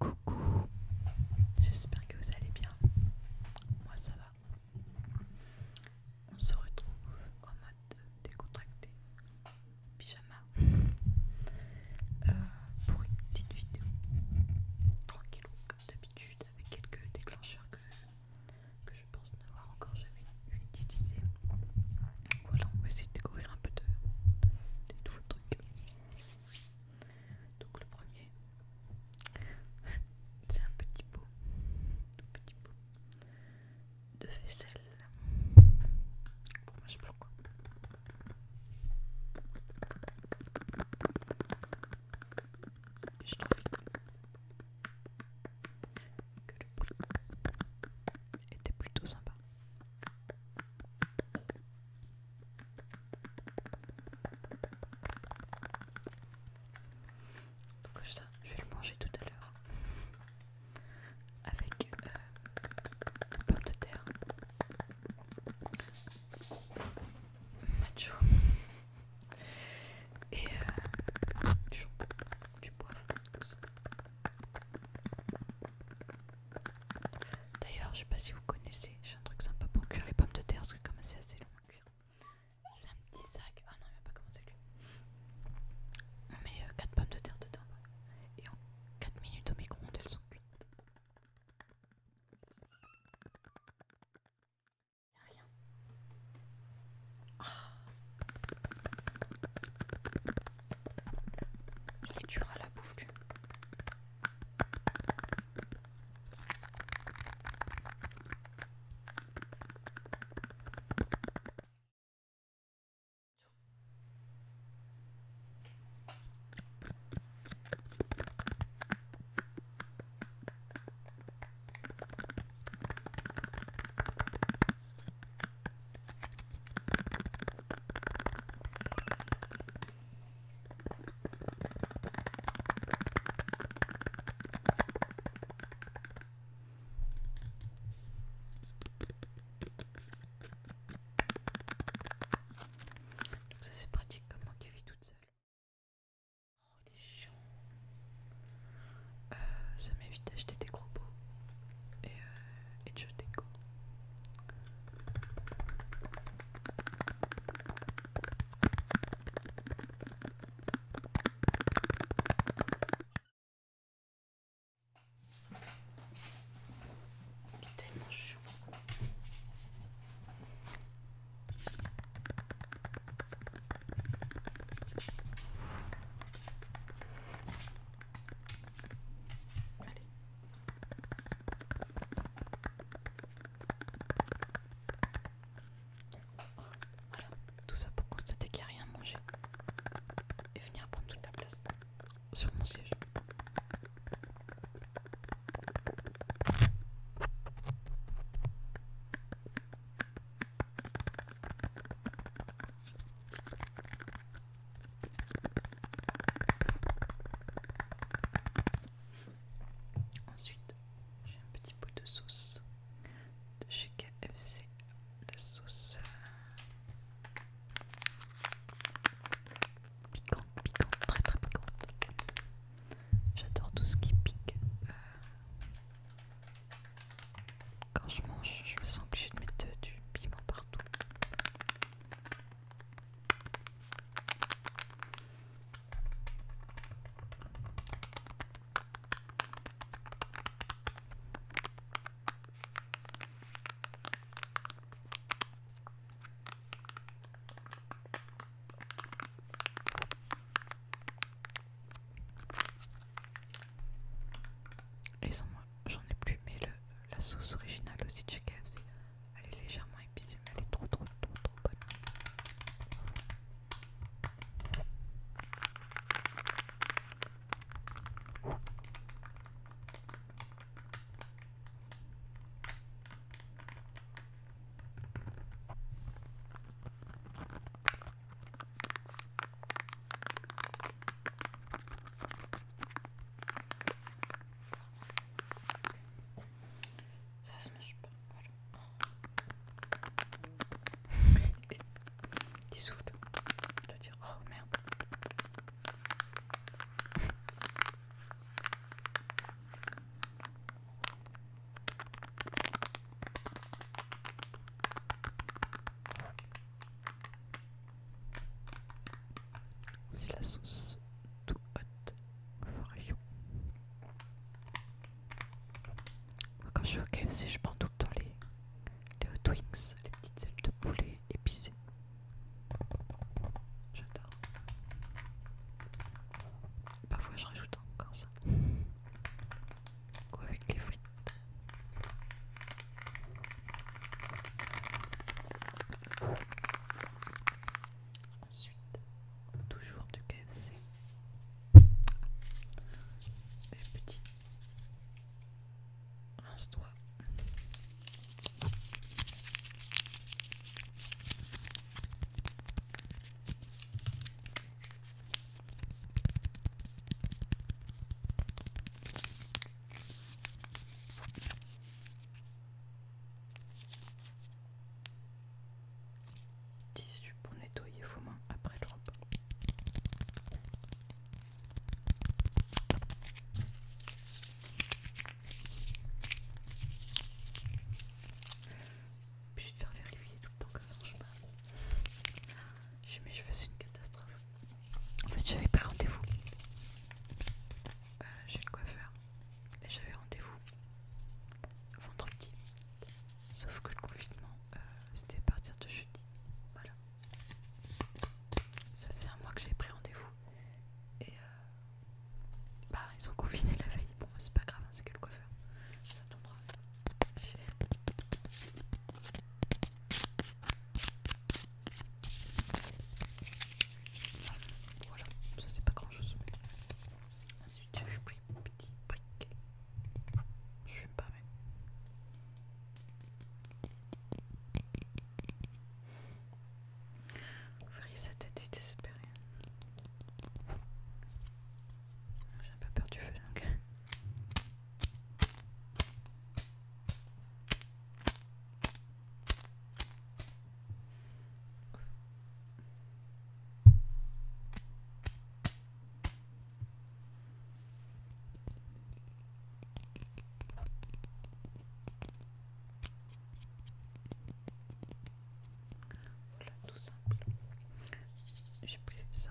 Coucou, j'espère que vous allez bien. Moi ça va. On se retrouve en mode décontracté, pyjama, euh, pour une petite vidéo tranquille comme d'habitude avec quelques déclencheurs que, que je pense n'avoir encore jamais utilisé. Voilà, on va essayer de découvrir un peu de, nouveaux trucs. Donc le premier, c'est un petit pot, un petit pot de faisselle pour pas blanc. Je trouve que le était plutôt sympa. Donc ça, je vais le manger tout à l'heure avec des euh, pommes de terre. Macho et euh, du du poivre, D'ailleurs, je sais pas si vous connaissez, j'ai un truc sympa pour cuire les pommes de terre parce que comme c'est assez long à cuire, c'est un petit sac. Ah non, il va pas commencé lui. On met 4 euh, pommes de terre dedans et en 4 minutes au micro-ondes elles sont cuites. Rien. Oh. Il est dur à la bouffe ça c'est pratique comme moi qui vis toute seule. Oh, euh, ça m'évite d'acheter des gros pots et, euh, et de jeter go. Tellement chaud. Voilà, tout ça pour constater qu'il n'y a rien à manger et venir prendre toute la place sur mon siège. Ensuite, j'ai un petit pot de sauce de chez KFC, la sauce euh, piquante, piquante, très très piquante. J'adore tout ce qui pique. Euh, quand je mange, je me sens obligée de mettre euh, du piment partout. Et moi, j'en ai plus, mais la sauce originale aussi de chez KFC, elle est légèrement épicée, mais elle est trop trop trop trop bonne. Ça se mange pas. Il souffle. Je dois dire, oh merde. C'est la sauce tout hot for you. quand je suis au KFC, je prends tout le temps les, les hot wings, les petites ailes de poulet épicées. J'adore. Parfois, je rajoute encore ça ou avec les frites. Ensuite, toujours du KFC. et petit rince-toi. Tissu pour nettoyer vos mains après le repas je vais te faire vérifier tout le temps que ça marche pas. J'ai mes cheveux, c'est une catastrophe. En fait, j'avais pris rendez-vous. Euh, J'ai le coiffeur. Et j'avais rendez-vous vendredi. Sauf que le confinement, euh, c'était à partir de jeudi. Voilà. Ça faisait un mois que j'avais pris rendez-vous. Et euh, bah, ils ont confiné la veille. Bon, c'est pas grave, hein, c'est que le coiffeur. Ça tombera. Voilà, ça c'est pas grand chose. Ensuite, j'ai pris petit petite Je fume pas, mais. Vous verriez sa tête est désespérée. J'ai un peu peur du feu, donc. Voilà, tout simple. J'ai pris ça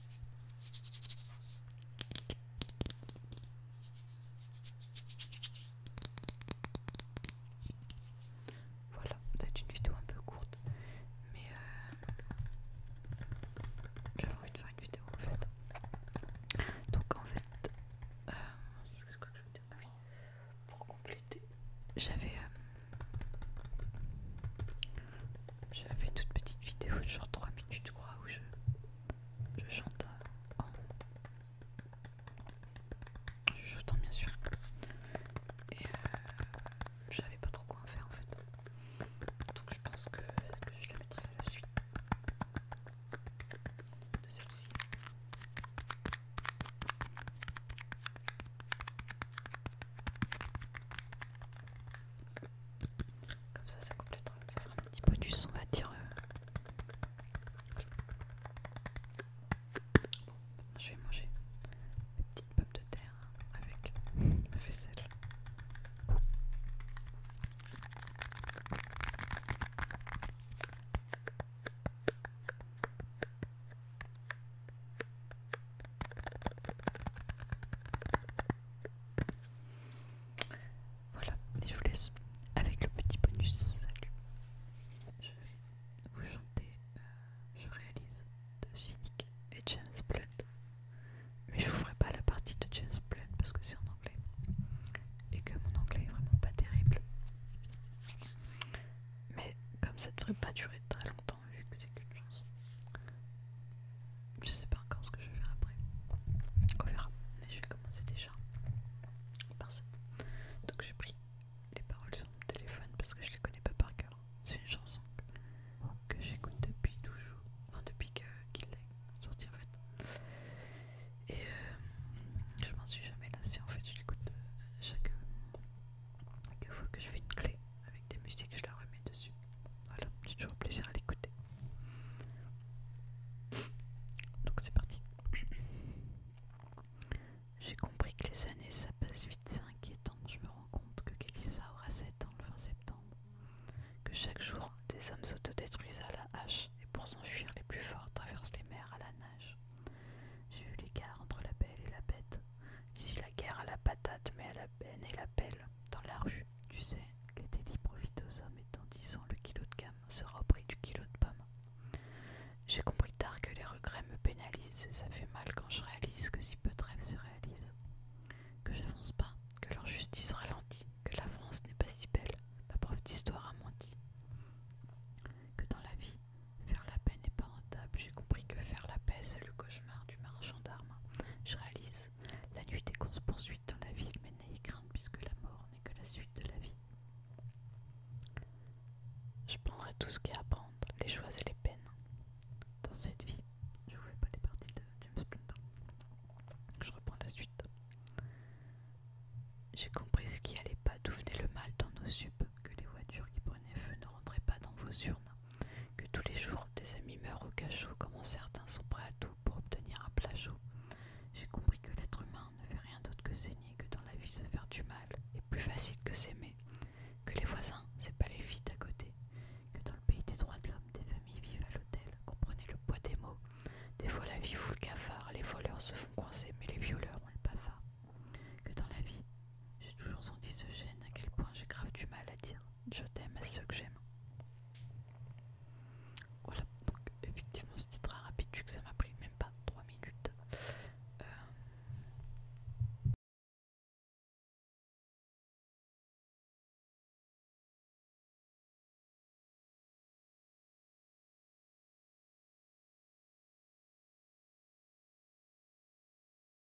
Voilà, peut-être une vidéo un peu courte, mais euh, j'avais envie de faire une vidéo en fait. Donc en fait, euh, c'est quoi que je veux dire. Ah pour compléter, j'avais euh, j'avais une toute petite vidéo, genre 3 minutes, je crois, où je, chante en. Je bien sûr. Et euh, je pas trop quoi en faire en fait. Donc je pense que, que je la mettre à la suite de celle-ci. Comme ça, ça coupe ça fera un petit peu du son, on va dire. Euh. je vais manger une petite pomme de terre avec ma vaisselle. Voilà, et je vous laisse avec le petit bonus. Salut. Je vais vous chanter, euh, je réalise, de Cynic et James Blunt. Mais je vous ferai pas la partie de James blood parce que c'est en anglais. Et que mon anglais est vraiment pas terrible. Mais comme ça ne devrait pas durer très longtemps vu que c'est qu'une chanson. Je sais pas encore ce que je vais faire après. On verra. Mais je vais commencer déjà par ça. Donc j'ai pris les paroles sur mon téléphone parce que je les connais pas par cœur. C'est une chanson que j'écoute depuis toujours. Enfin depuis qu'il est sorti en fait. Et euh, je m'en suis jamais lassé. en fait. Je l'écoute euh, chaque fois que je fais une clé avec des musiques, je la remets dessus. Voilà, j'ai toujours plaisir à l'écouter. Donc c'est parti. J'ai compris que les années ça passe vite, c'est inquiétant. Je me rends compte que Kalissa aura 7 ans le fin septembre. Que chaque jour, des hommes s'autodétruisent à la hache et pour s'enfuir, les plus forts traversent les mers à la nage. J'ai vu guerres entre la belle et la bête. Ici la guerre à la patate, mais à la peine et la pelle. Dans la rue, tu sais, les délits profitent aux hommes et le kilo de gamme sera au prix du kilo de pomme. J'ai compris tard que les regrets me pénalisent et ça fait mal quand je réalise que si peu de rêves se réalisent. Que j'avance pas, que leur justice ralentit, que la France n'est pas si belle, ma prof d'histoire a menti. Que dans la vie, faire la peine n'est pas rentable, j'ai compris que faire la paix, c'est le cauchemar du marchand d'armes. Je réalise, la nuit des se poursuite dans la ville, mais n'ayez crainte puisque la mort n'est que la suite de la vie. Je prendrai tout ce qu'il y a à prendre, les joies et les peines. Dans cette vie, je vous fais pas les parties de James Je reprends la suite. J'ai compris ce qui allait pas, d'où venait le mal dans nos subs, que les voitures qui prenaient feu ne rentraient pas dans vos urnes, que tous les jours des amis meurent au cachot, comment certains sont prêts à tout pour obtenir un plat chaud. J'ai compris que l'être humain ne fait rien d'autre que saigner, que dans la vie se faire du mal est plus facile que s'aimer, que les voisins, c'est pas les filles à côté, que dans le pays des droits de l'homme, des familles vivent à l'hôtel, comprenez le poids des mots. Des fois la vie fout le cafard, les voleurs se font coincer, mais les violeurs ont le bavard. Que dans la vie, j'ai toujours senti ce gêne, à quel point j'ai grave du mal à dire je t'aime à ceux que j'aime. Voilà, donc effectivement c'était très rapide vu que ça m'a pris même pas trois minutes. Euh,